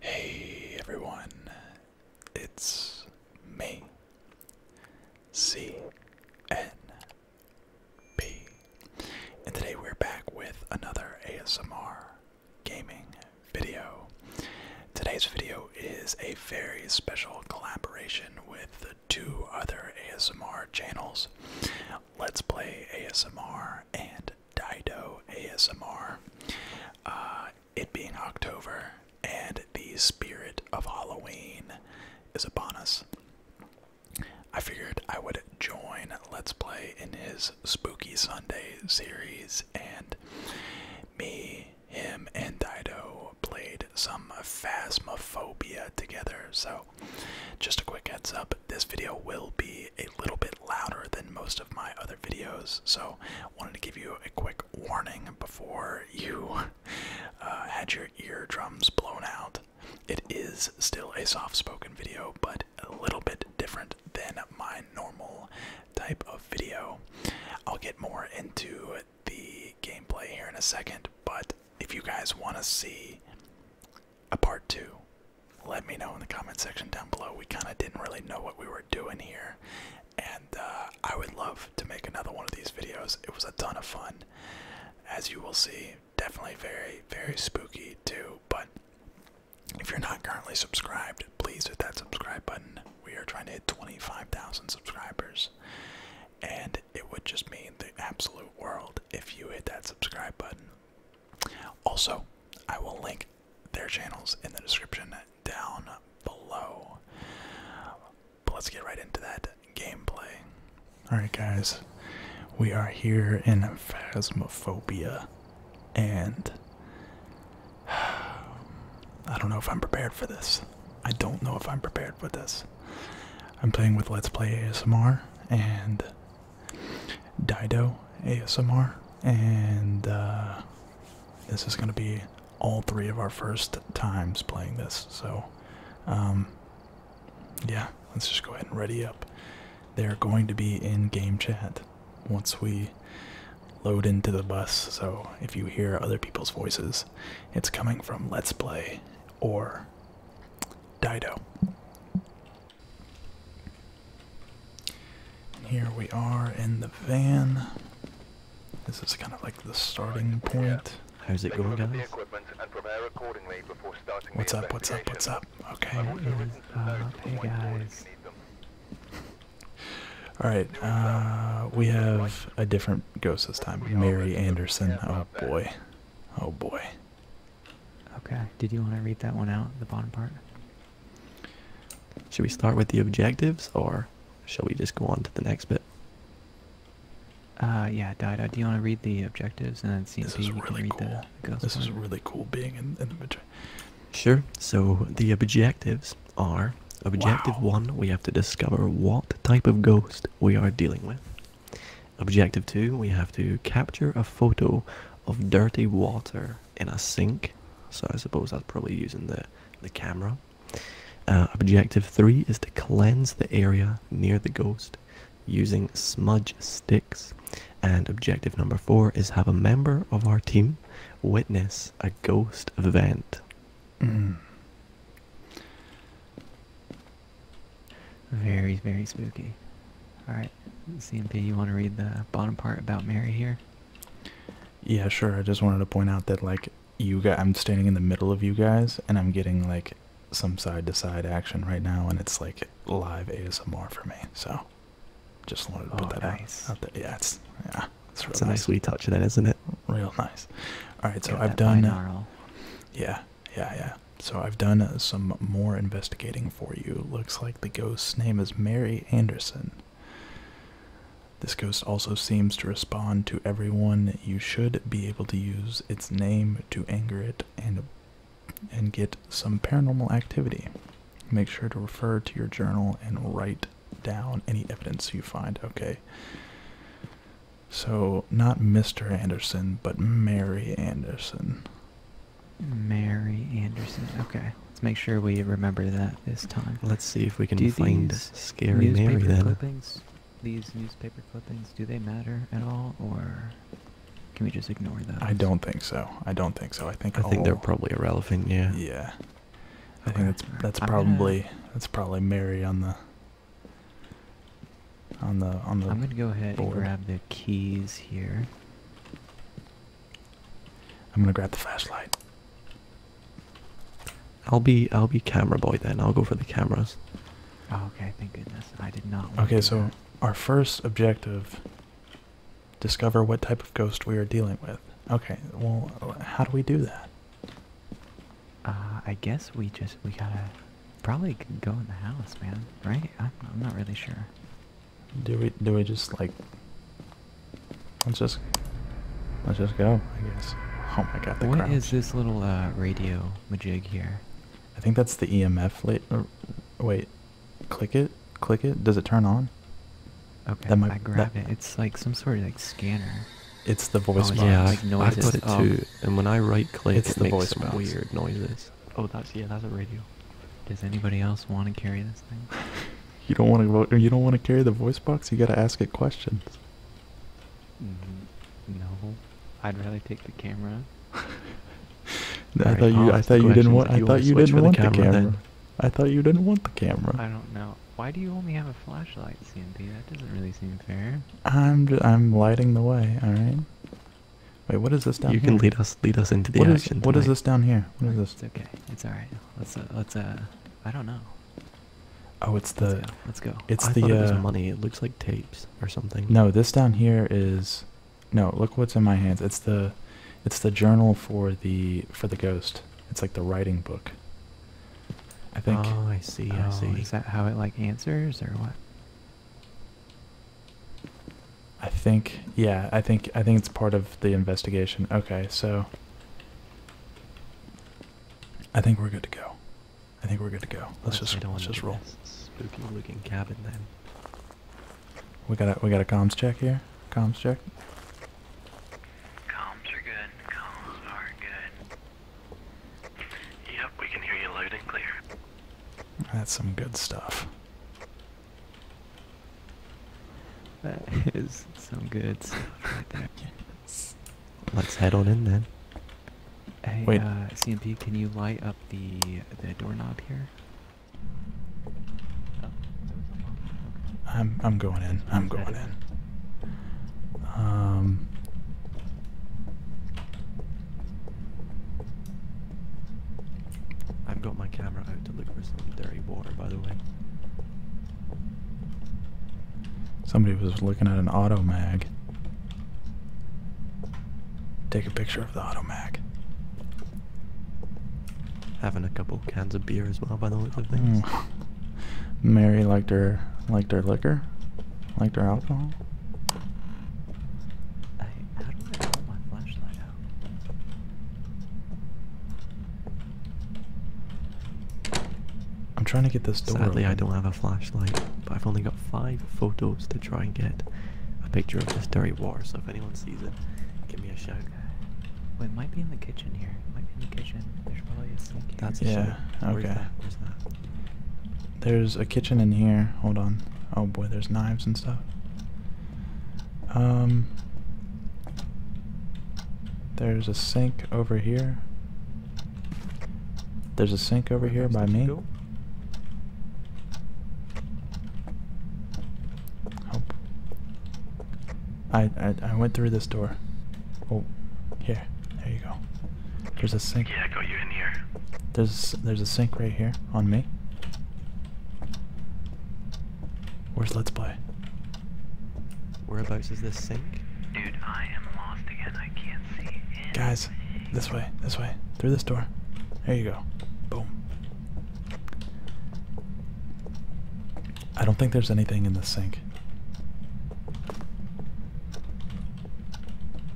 Hey everyone, it's me, C N P, and today we're back with another ASMR gaming video. Today's video is a very special collaboration with two other ASMR channels Let's Play ASMR and Dido ASMR. Uh, it being October and the spirit of Halloween is upon us. I figured I would join Let's Play in his Spooky Sunday series, and me, him, and Dido played some phasmophobia together. So, just a quick heads up this video will be a little bit louder than most of my other videos. So, wanted to give you a quick warning before you uh, had your eardrums blown out. It is still a soft spoken video, but a little bit different than my normal type of video. I'll get more into the gameplay here in a second, but if you guys want to see a part two, let me know in the comment section down below. We kind of didn't really know what we were doing here, and uh, I would love to make another one of these videos. It was a ton of fun, as you will see. Definitely very, very spooky too, but if you're not currently subscribed, please hit that subscribe button. We are trying to hit 25,000 subscribers. And it, would just mean the absolute world if you hit that subscribe button. Also, I will link their channels in the description down below. But let's get right into that gameplay. Alright, guys, we are here in Phasmophobia, and I don't know if I'm prepared for this. I don't know if I'm prepared with this. I'm playing with Let's Play ASMR and Dido ASMR, and uh, this is going to be all three of our first times playing this. So, um, yeah, let's just go ahead and ready up. They're going to be in game chat once we load into the bus, so if you hear other people's voices, it's coming from Let's Play or Dido. here we are in the van. This is kind of like the starting point. How's it going, guys? What's up? What's up? What's up? Okay. Hey guys. All right. Uh, we have a different ghost this time. Mary Anderson. Oh boy. Oh boy. Okay. Did you want to read that one out, the bottom part? Should we start with the objectives or shall we just go on to the next bit? Uh, yeah, Dido, do you want to read the objectives and then see if you can read the, the ghost This part? is really cool being in, the the Sure. So the objectives are Objective 1, we have to discover what type of ghost we are dealing with. Objective 2, we have to capture a photo of dirty water in a sink. So I suppose that's probably using the, the camera. Uh, objective 3 is to cleanse the area near the ghost using smudge sticks. And objective number 4 is have a member of our team witness a ghost event. Hmm. Very, very spooky. Alright, CMP, you want to read the bottom part about Mary here? Yeah, sure. I just wanted to point out that, like, you guys, I'm standing in the middle of you guys, and I'm getting, like, some side to side action right now, and it's, like, live ASMR for me. So, just wanted to put oh, that out, out there. Yeah, it's, yeah. It's a nice wee touch of that, isn't it? Real nice. All right, so I've done. Yeah, yeah, yeah. So I've done some more investigating for you. Looks like the ghost's name is Mary Anderson. This ghost also seems to respond to everyone. You should be able to use its name to anger it and and get some paranormal activity. Make sure to refer to your journal and write down any evidence you find. Okay. So, not Mr. Anderson, but Mary Anderson. Mary Anderson. Okay, let's make sure we remember that this time. Let's see if we can do find scary Mary then. Clippings, these newspaper clippings, do they matter at all, or can we just ignore those? I don't think so. I don't think so. I think I think they're probably irrelevant. Yeah. Yeah. I think that's that's probably going that's probably Mary on the on the on the. I'm gonna go ahead and grab the keys here. I'm gonna grab the flashlight. I'll be I'll be camera boy then. I'll go for the cameras. Oh, okay, thank goodness. I did not. Okay, so our first objective: discover what type of ghost we are dealing with. Okay, well, how do we do that? Uh, I guess we just, we gotta probably go in the house, man, right? I'm, I'm not really sure. Do we, do we just like, let's just, let's just go, I guess. Oh my god, What is this little, uh, radio majig here? I think that's the EMF late, uh, wait, click it, click it, does it turn on? Okay, that might, I that, it. It's like some sort of like scanner. It's the voice oh, box. Yeah, I put it oh. too. And when I right click, it makes weird noises. Oh, that's yeah, that's a radio. Does anybody else want to carry this thing? you don't want to. You don't want to carry the voice box. You got to ask it questions. Mm-hmm. No, I'd rather take the camera. I thought you. I thought you didn't want. I thought you didn't want the, camera. camera. I thought you didn't want the camera. I don't know. Why do you only have a flashlight, CMP? That doesn't really seem fair. I'm I'm lighting the way. All right. Wait, what is this down you here? can lead us lead us into the what what is this down here? What is this? okay. It's all right. Let's uh, let's uh, I don't know. Oh, it's the. Let's go. It's I the. Thought it was uh, money. It looks like tapes or something. No, this down here is. No, look what's in my hands. It's the, it's the journal for the for the ghost. It's like the writing book. I think. Oh, I see. I see. Oh, Is that how it like answers or what? I think. Yeah, I think. I think it's part of the investigation. Okay, so. I think we're good to go. I think we're good to go. let's just let's just roll. Spooky looking cabin then. We got a we got a comms check here. Comms check. Comms are good. Comms are good. Yep, we can hear you loud and clear. That's some good stuff. That is some good stuff Let's head on in then. Wait. Uh, CMP, can you light up the the doorknob here? Oh, I'm I'm going in. I'm going in. Um, I've got my camera out to look for some dirty water, by the way. Somebody was looking at an auto mag. Take a picture of the auto mag. Having a couple cans of beer as well, by the looks of things. Mm. Mary liked her liked her liquor, liked her alcohol. I, am trying to get this door. Sadly, I don't have a flashlight, but I've only got five photos to try and get a picture of this dirty water. So if anyone sees it, give me a shout. it might be in the kitchen here. It might be in the kitchen. There's probably a sink that's yeah. Okay. There's a kitchen in here. Hold on. Oh boy, there's knives and stuff. Um. There's a sink over here. There's a sink over here by me. Go? I, I went through this door. Oh, here, there you go. There's a sink. Yeah, I got you in here. There's there's a sink right here on me. Where's Let's Play? Whereabouts is this sink? Dude, I am lost again. I can't see Guys, this way, this way, through this door. There you go. Boom. I don't think there's anything in the sink.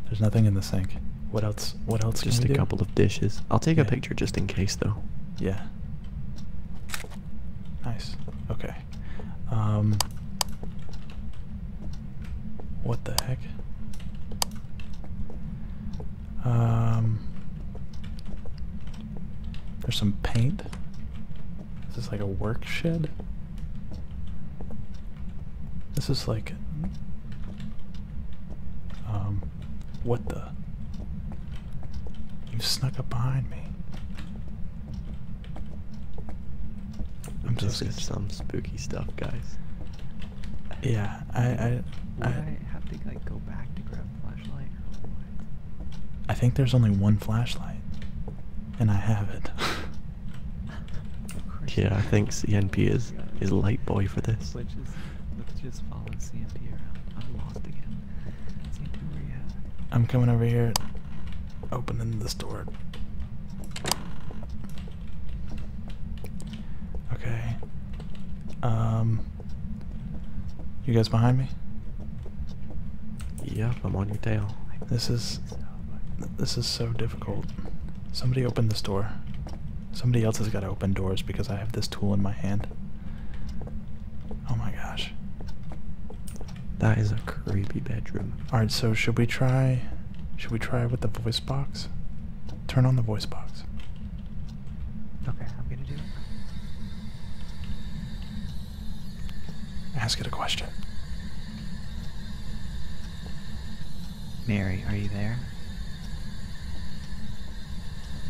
There's nothing in the sink. What else? What else? Just a couple of dishes. I'll take a picture just in case, though. Yeah. Nice. Okay. Um. What the heck? Um. There's some paint. This Is like a work shed? This is like um what the You snuck up behind me. I'm this just is some spooky stuff, guys. Yeah, I I, I, I think I go back to grab flashlight or what? I think there's only one flashlight, and I have it. yeah, I think CNP is is light boy for this. Let's just, just follow CNP around. I'm I'm coming over here, opening this door. Okay. Um. You guys behind me? Yep, I'm on your tail. This is this is so difficult. Somebody opened this door. Somebody else has got to open doors because I have this tool in my hand. Oh my gosh. That is a creepy bedroom. All right, so should we try should we try with the voice box? Turn on the voice box. Okay, I'm going to do it. Ask it a question. Mary, are you there?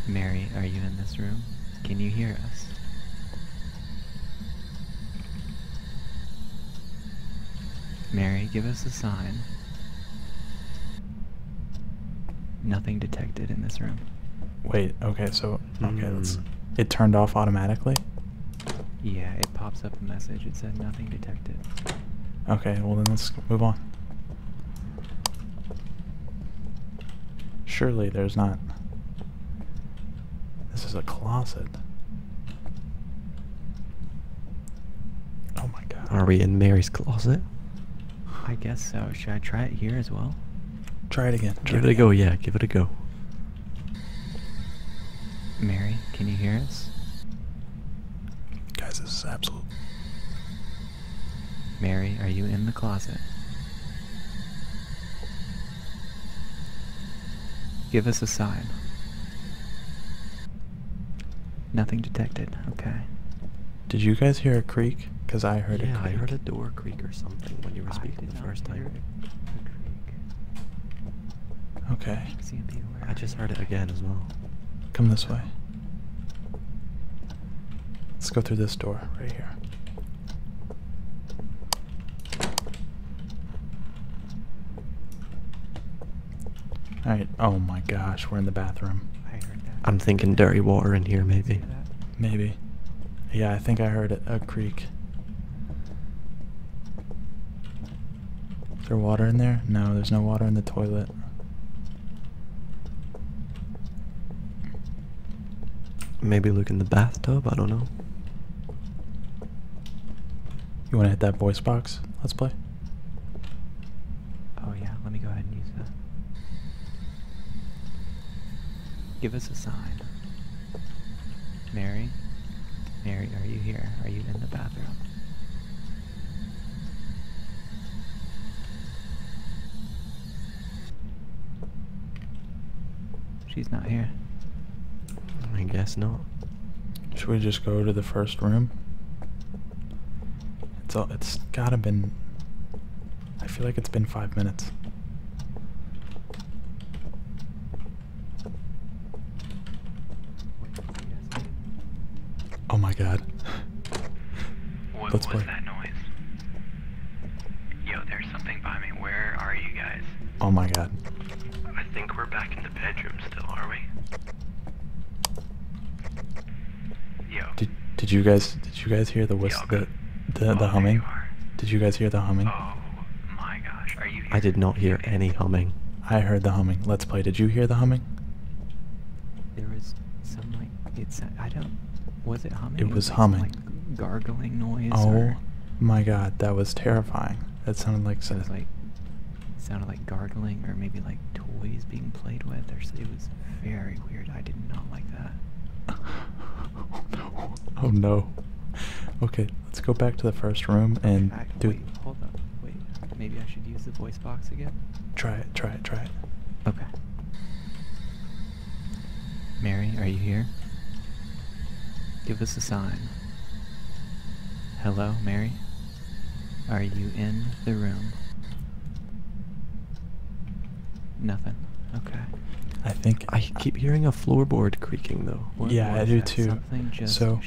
Mary, are you in this room? Can you hear us? Mary, give us a sign. Nothing detected in this room. Wait, okay, so okay. Mm. It turned off automatically. Yeah, it pops up a message. It said nothing detected. Okay, well then let's move on. Surely there's not. This is a closet. Oh my god. Are we in Mary's closet? I guess so. Should I try it here as well? Try it again. Try give it, again. a go, yeah. Give it a go. Mary, can you hear us? Guys, this is absolute. Mary, are you in the closet? Give us a sign. Nothing detected. Okay. Did you guys hear a creak? Because I heard yeah, a creak. I heard a door creak or something when you were speaking the first time. Okay. I just heard it again as well. Come this way. Let's go through this door right here. Alright, oh my gosh, we're in the bathroom. I I'm thinking dirty water in here, maybe. Maybe. Yeah, I think I heard a creak. Is there water in there? No, there's no water in the toilet. Maybe look in the bathtub, I don't know. You wanna hit that voice box? Let's play. Oh yeah, let me go ahead and use that. Give us a sign. Mary, Mary, are you here? Are you in the bathroom? She's not here. I guess not. Should we just go to the first room? It's all, it's gotta been I feel like it's been five minutes. Oh my god. What was that noise? Yo, there's something by me. Where are you guys? Oh my god. I think we're back in the bedroom still, are we? Yo. Did did you guys did you guys hear the whistle the the, oh, the humming? Did you guys hear the humming? Oh, I did not hear any humming. I heard the humming. Let's play. Did you hear the humming? There was some like it's I don't was it humming? It was, humming. Like, gargling noise. Oh my god, that was terrifying. That sounded like some like sounded like gargling or maybe like toys being played with or it was very weird. I did not like that. oh no. Okay, let's go back to the first room and do. Wait, hold up. Wait, maybe I should use the voice box again. Try it. Try it. Try it. Okay. Mary, are you here? Give us a sign. Hello, Mary. Are you in the room? Nothing. Okay. I think I keep hearing a floorboard creaking though. yeah, I do too. so,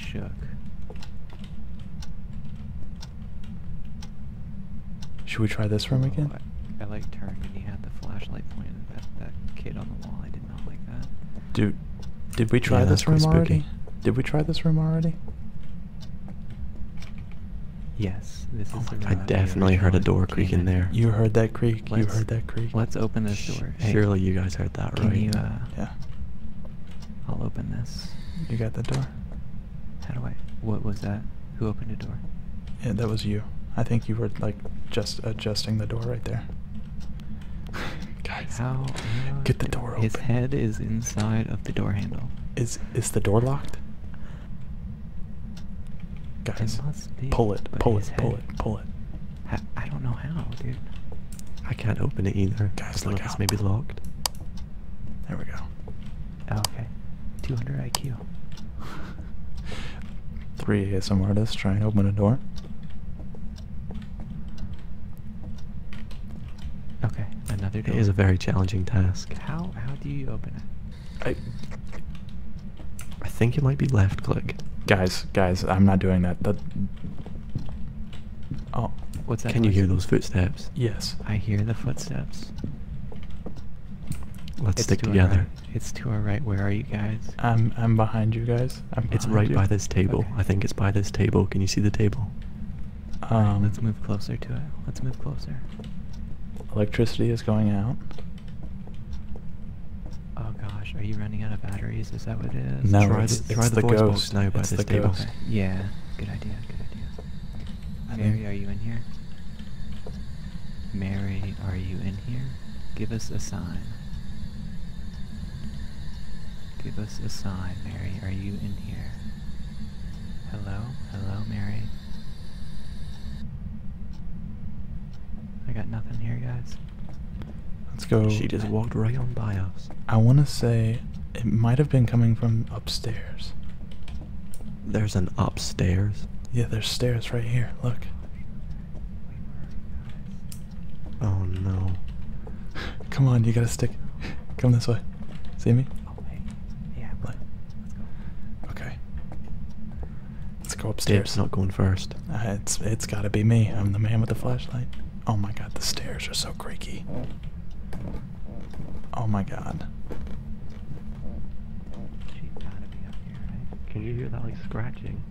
Should we try this room again? Oh, I, like turned and he had the flashlight pointed at that kid on the wall. I did not like that. Dude, did we try this room already? Did we try this room already? Yes, oh I definitely heard a door creaking there. You heard that creak. You heard that creak. Let's open this door. Surely you guys heard that, right? You, uh, yeah. I'll open this. You got the door. How do I? What was that? Who opened the door? that was you. I think you were like just adjusting the door right there. guys, how? Get the door His head is inside of the door handle. Is is the door locked? Guys, pull it, pull it, pull it, pull it. I, don't know how, dude. I can't open it either. Guys, the out. may be locked. There we go. Oh, okay. 200 IQ. Three ASM artists try and open a door. Okay, another day. It is a very challenging task. How how do you open it? I, I think it might be left click. Guys, guys, I'm not doing that. That. Oh, what's that? Can you hear those footsteps? Yes. I hear the footsteps. Let's stick together. It's to our right. Where are you guys? I'm I'm behind you guys. it's right by this table. I think it's by this table. Can you see the table? Um, let's move closer to it. Let's move closer. Electricity is going out. Oh gosh, are you running out of batteries? Is that what it is? No, try the, try it's the, the voice Yeah, good idea, good idea. Mary, are you in here? Mary, are you in here? Give us a sign. Give us a sign, Mary. Are you in here? Hello? Hello, Mary? I got nothing here, guys. Let's go. She just walked right on by us. I want to say it might have been coming from upstairs. There's an upstairs? Yeah, there's stairs right here. Look. Oh no. Come on, you gotta stick. Come this way. See me? Oh, okay. Let's go upstairs. Dave's not going first. Uh, it's it's got to be me. I'm the man with the flashlight. Oh my god, the stairs are so creaky. Oh my god. She gotta be up here, right? Can you hear that like scratching?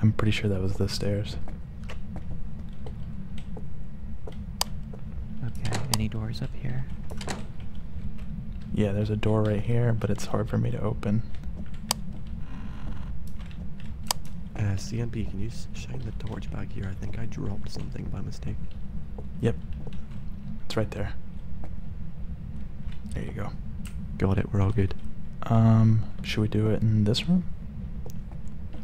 I'm pretty sure that was the stairs. Okay, any doors up here? Yeah, there's a door right here, but it's hard for me to open. Uh, CMP, can you shine the torch back here? I think I dropped something by mistake. Yep. It's right there. There you go. Got it, we're all good. Um, should we do it in this room?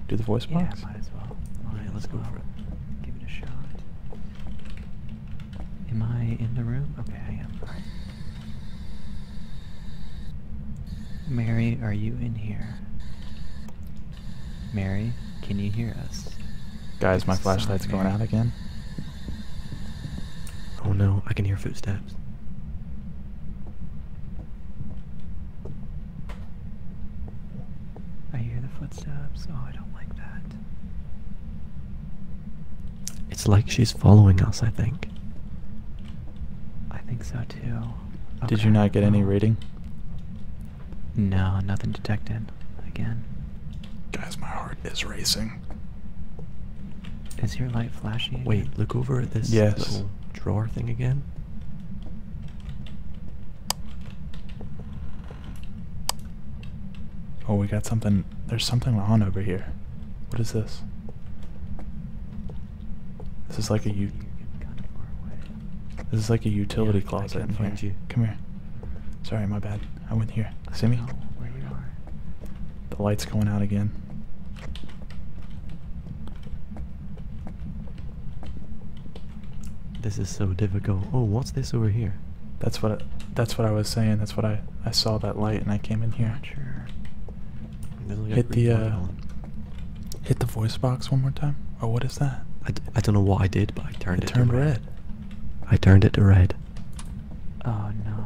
Do the voice box? Yeah, might as well. Might let's go for it. Give it a shot. Am I in the room? Okay, I am. Mary, are you in here? Mary, can you hear us? Guys, my flashlight's going out again. Oh no, I can hear footsteps. I hear the footsteps. Oh, I don't like that. It's like she's following us, I think. I think so too. Did you not get any reading? No, nothing detected. Again. Guys, my heart is racing. Is your light flashing? Wait, look over at this drawer thing again. Oh, we got something. There's something on over here. What is this? This is like a u. This is like a utility closet. find you. Come here. Sorry, my bad. I went here. See me? Oh, where you are. The light's going out again. This is so difficult. Oh, what's this over here? That's what. It, that's what I was saying. That's what I I saw that light and I came in here. Hit the uh, hit the voice box one more time. Oh, what is that? I d I don't know what I did, but I turned it. it turned red. I turned it to red. Oh no!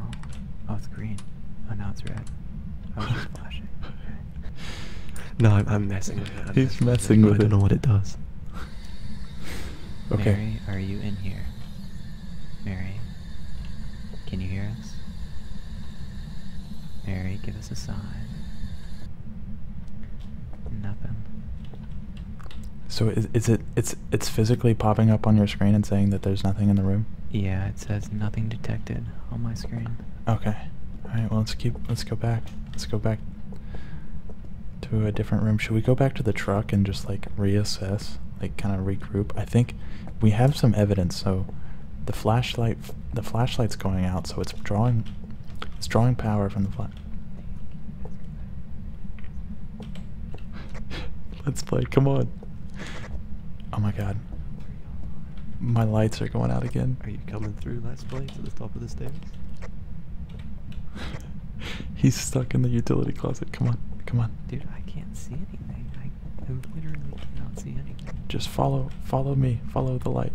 Oh, it's green. Oh now it's red. I was flashing. Okay. No, I'm, messing with it. He's messing with it. I don't know what it does. okay. Mary, are you in here? Mary, can you hear us? Mary, give us a sign. Nothing. So is, is it it's it's physically popping up on your screen and saying that there's nothing in the room? Yeah, it says nothing detected on my screen. Okay. All right. Well, let's keep. Let's go back. Let's go back to a different room. Should we go back to the truck and just like reassess, like kind of regroup? I think we have some evidence. So the flashlight, the flashlight's going out, so it's drawing, it's drawing power from the flash. Let's play. Come on. Oh my god. My lights are going out again. Are you coming through, let's play, to the top of the stairs? He's stuck in the utility closet. Come on, come on. Dude, I can't see anything. I, literally cannot see anything. Just follow, follow me. Follow the light.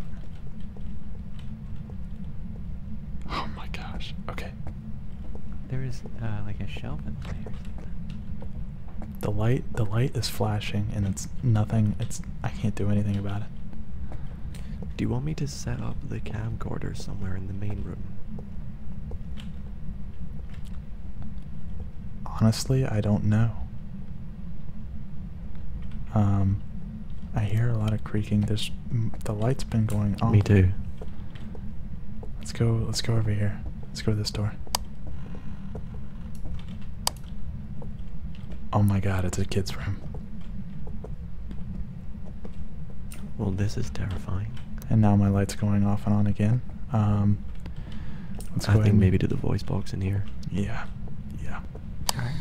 Oh my gosh. Okay. There is uh, like a shelf in there. or something. The light, the light is flashing, and it's nothing. It's I can't do anything about it. Do you want me to set up the camcorder somewhere in the main room? Honestly, I don't know. Um, I hear a lot of creaking. There's the light's been going on. Me too. Let's go. Let's go over here. Let's go to this door. Oh my god, it's a kid's room. Well, this is terrifying. And now my light's going off and on again. Um, going? I think maybe do the voice box in here. Yeah, yeah. All right.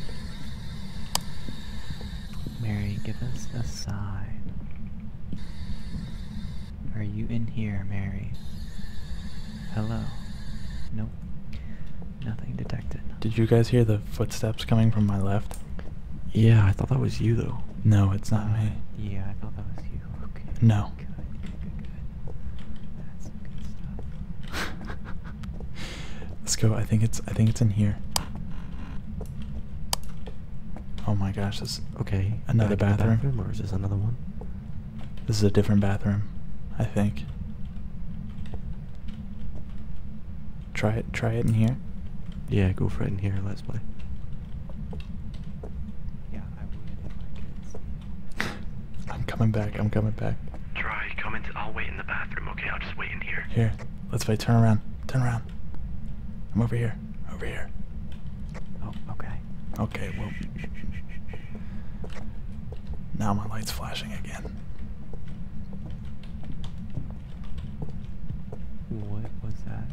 Mary, give us a sign. Are you in here, Mary? Hello. Nope. Nothing detected. Did you guys hear the footsteps coming from my left? Yeah, I thought that was you though. No, it's not me. Yeah, I thought that was you. Okay. No. Good, Let's go. I think it's I think it's in here. Oh my gosh, this okay. Another bathroom or is this another one? This is a different bathroom, I think. Try it try it in here. Yeah, go for it in here, let's play. Yeah, I would if I I'm coming back. I'm coming back. Try coming. I'll wait in the bathroom. Okay, I'll just wait in here. Here, let's wait. Turn around. Turn around. I'm over here. Over here. Oh, okay. Okay. Well. Now my light's flashing again. What was that?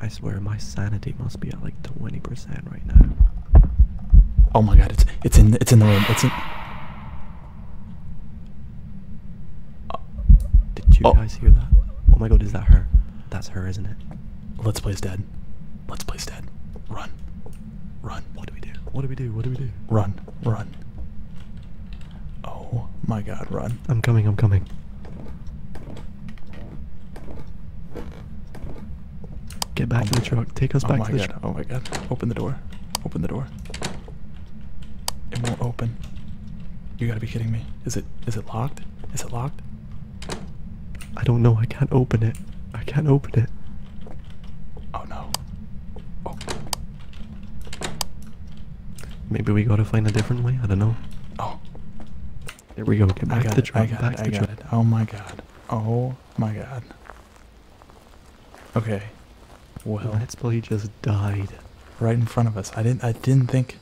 I swear my sanity must be at like 20% right now. Oh my god, it's it's in it's in the room. It's in uh, Did you oh. guys hear that? Oh my god, is that her? That's her, isn't it? Let's play dead. Let's play dead. Run. Run. What do we do? What do we do? What do we do? Run. Run. Oh my god, run. I'm coming, I'm coming. Get back to the truck. Take us oh back to the truck. Oh my god. Open the door. Open the door. It won't open. You gotta be kidding me. Is it is it locked? Is it locked? I don't know. I can't open it. I can't open it. Oh no. Oh. Maybe we gotta find a different way. I don't know. Oh. There we go. Get back to the truck. Back Oh my god. Oh my god. Okay. Well, that's us play just died right in front of us. I didn't. I didn't think.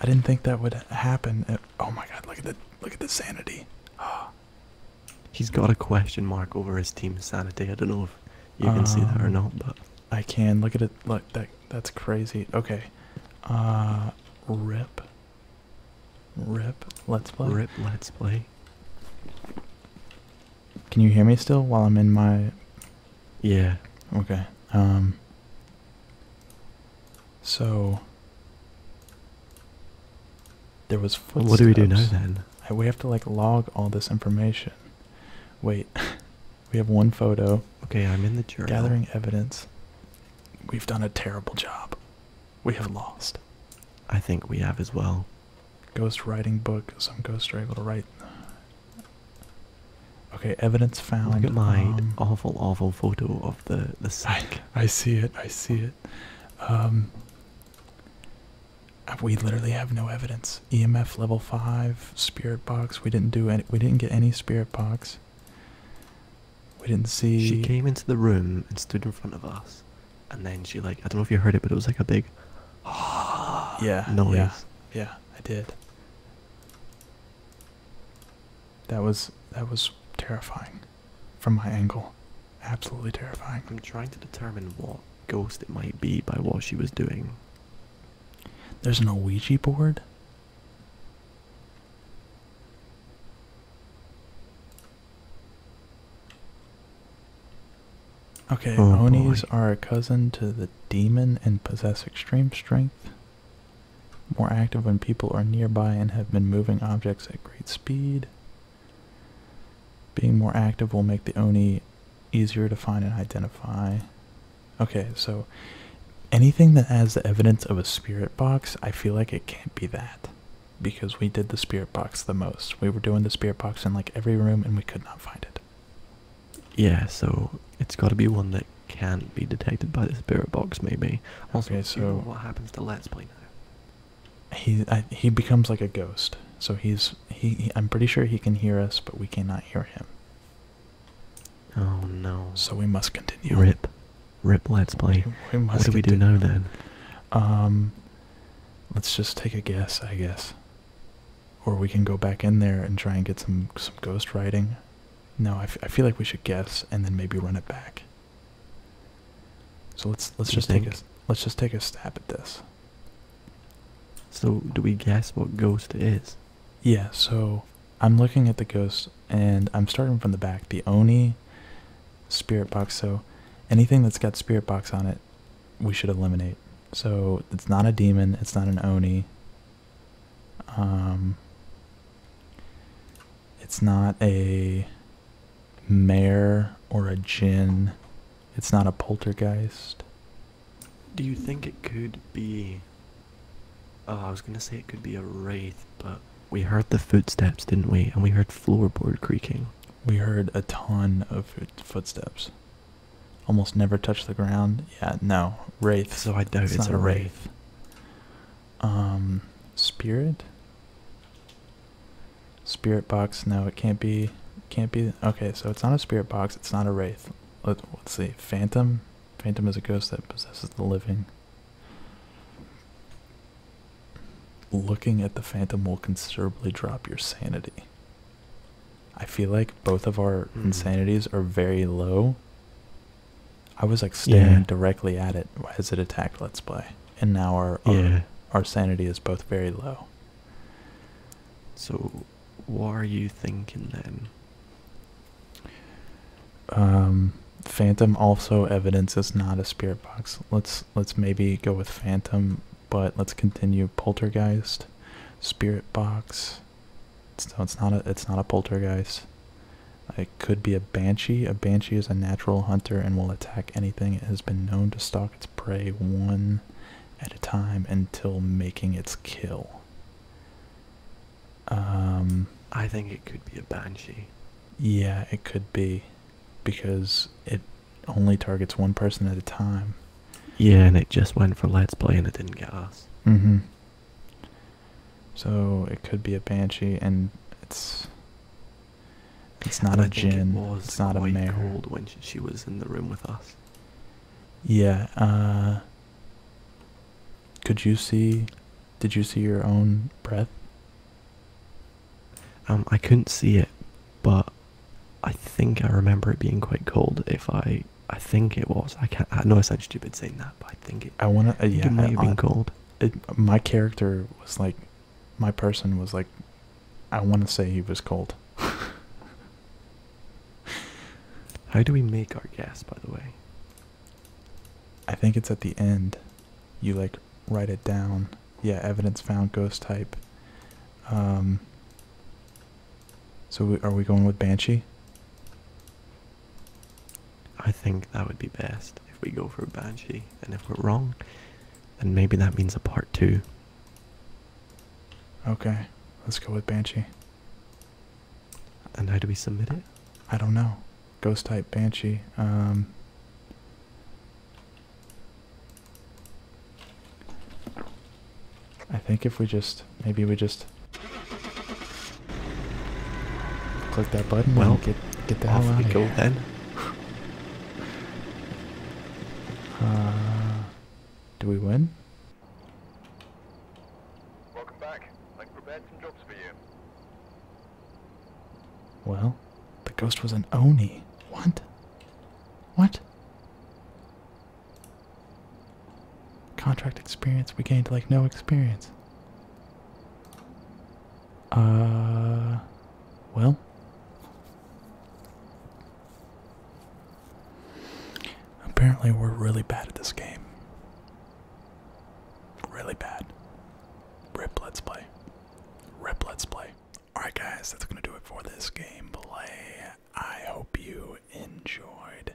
I didn't think that would happen. oh my god! Look at the look at the sanity. Oh, He's got a question mark over his team's sanity. I don't know if you can see that or um, not, but I can. Look at it. Look, that that's crazy. Okay. Uh, rip. Rip. Let's play. Rip. Let's play. Can you hear me still while I'm in my? Yeah. Okay. Um. So. There was footsteps. What do we do now then? We have to like log all this information. Wait, we have one photo. Okay, I'm in the journal. Gathering evidence. We've done a terrible job. We have lost. I think we have as well. Ghost writing book. Some ghosts are able to write. Okay, evidence found. Look at my um, awful, awful photo of the the sack. I, see it. I see it. Um, we literally have no evidence. EMF level five, spirit box. We didn't do any. We didn't get any spirit box. We didn't see. She came into the room and stood in front of us, and then she like I don't know if you heard it, but it was like a big, ah, yeah, noise. Yeah, yeah, I did. That was that was terrifying, from my angle absolutely terrifying. I'm trying to determine what ghost it might be by what she was doing. There's an Ouija board. Okay, oh Onis are a cousin to the demon and possess extreme strength. More active when people are nearby and have been moving objects at great speed. Being more active will make the Oni easier to find and identify. Okay, so anything that has the evidence of a spirit box, I feel like it can't be that. Because we did the spirit box the most. We were doing the spirit box in like every room and we could not find it. Yeah, so it's got to be one that can't be detected by the spirit box, maybe. okay, so what happens to Let's Play now? he he becomes like a ghost. So he's he, I'm pretty sure he can hear us, but we cannot hear him. Oh no! So we must continue. Rip, rip. Let's play. what do we do now then? Um, let's just take a guess, I guess. Or we can go back in there and try and get some some ghost writing. No, I, I feel like we should guess and then maybe run it back. So let's let's just take let's just take a stab at this. So, do we guess what ghost is? Yeah, so I'm looking at the ghost and I'm starting from the back. The Oni spirit box. So, anything that's got spirit box on it, we should eliminate. So, it's not a demon, it's not an Oni. Um, it's not a mare or a jinn. It's not a poltergeist. Do you think it could be. Oh, I was gonna say it could be a wraith, but we heard the footsteps, didn't we? And we heard floorboard creaking. We heard a ton of footsteps. Almost never touch the ground. Yeah, no. Wraith. So I doubt it's, a wraith. Um, spirit? Spirit box. No, it can't be. Can't be. Okay, so it's not a spirit box. It's not a wraith. Let, us see. Phantom. Phantom is a ghost that possesses the living. Looking at the phantom will considerably drop your sanity. I feel like both of our hmm. insanities are very low. I was like staring directly at it as it attacked Let's Play, and now our our sanity is both very low. So, what are you thinking then? Um, Phantom also evidence is not a spirit box. Let's let's maybe go with Phantom, but let's continue Poltergeist, Spirit Box. So it's not a it's not a Poltergeist. It could be a Banshee. A Banshee is a natural hunter and will attack anything. It has been known to stalk its its prey one at a time until making its kill. Um, I think it could be a banshee. Yeah, it could be, because it only targets one person at a time. Yeah, and it just went for let's play, and it didn't get us. Mm-hmm. So it could be a banshee, and it's it's not a a I gin. it's not a mare. Cold when she was in the room with us. Yeah. Uh, could you see? Did you see your own breath? Um, I couldn't see it, but I think I remember it being quite cold. If I, I think it was. I can't. I know I sound stupid saying that, but I think it. I wanna. Uh, yeah, it might have been cold. It, my character was like my person was like, I want to say he was cold. How do we make our guess? by the way? I think it's at the end. You like write it down. Yeah, evidence found, ghost type. Um, so are we going with Banshee? I think that would be best if we go for Banshee. And if we're wrong, then maybe that means a part two. Okay, let's go with Banshee. And how do we submit it? I don't know. Ghost type Banshee. Um, I think if we just, maybe we just click that button well, get, get the hell out of here. Then. Uh, do we win? Well, the ghost was an Oni. What? What? Contract experience. We gained like no experience. Uh, well, Apparently, we're really bad at this game. Really bad. Rip, let's play. Rip, let's play. Alright, guys, that's going to do it for this gameplay. I hope you enjoyed.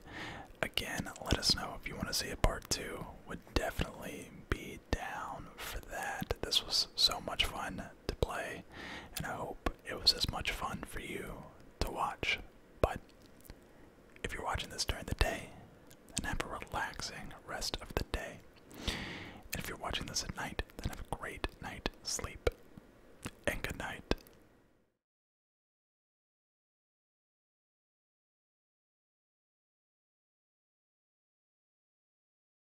Again, let us know if you want to see a part two. Would definitely be down for that. This was so much fun to play, and I hope it was as much fun for you to watch. But if you're watching this during the day, then have a relaxing rest of the day. And if you're watching this at night, then have a great night sleep. And good night.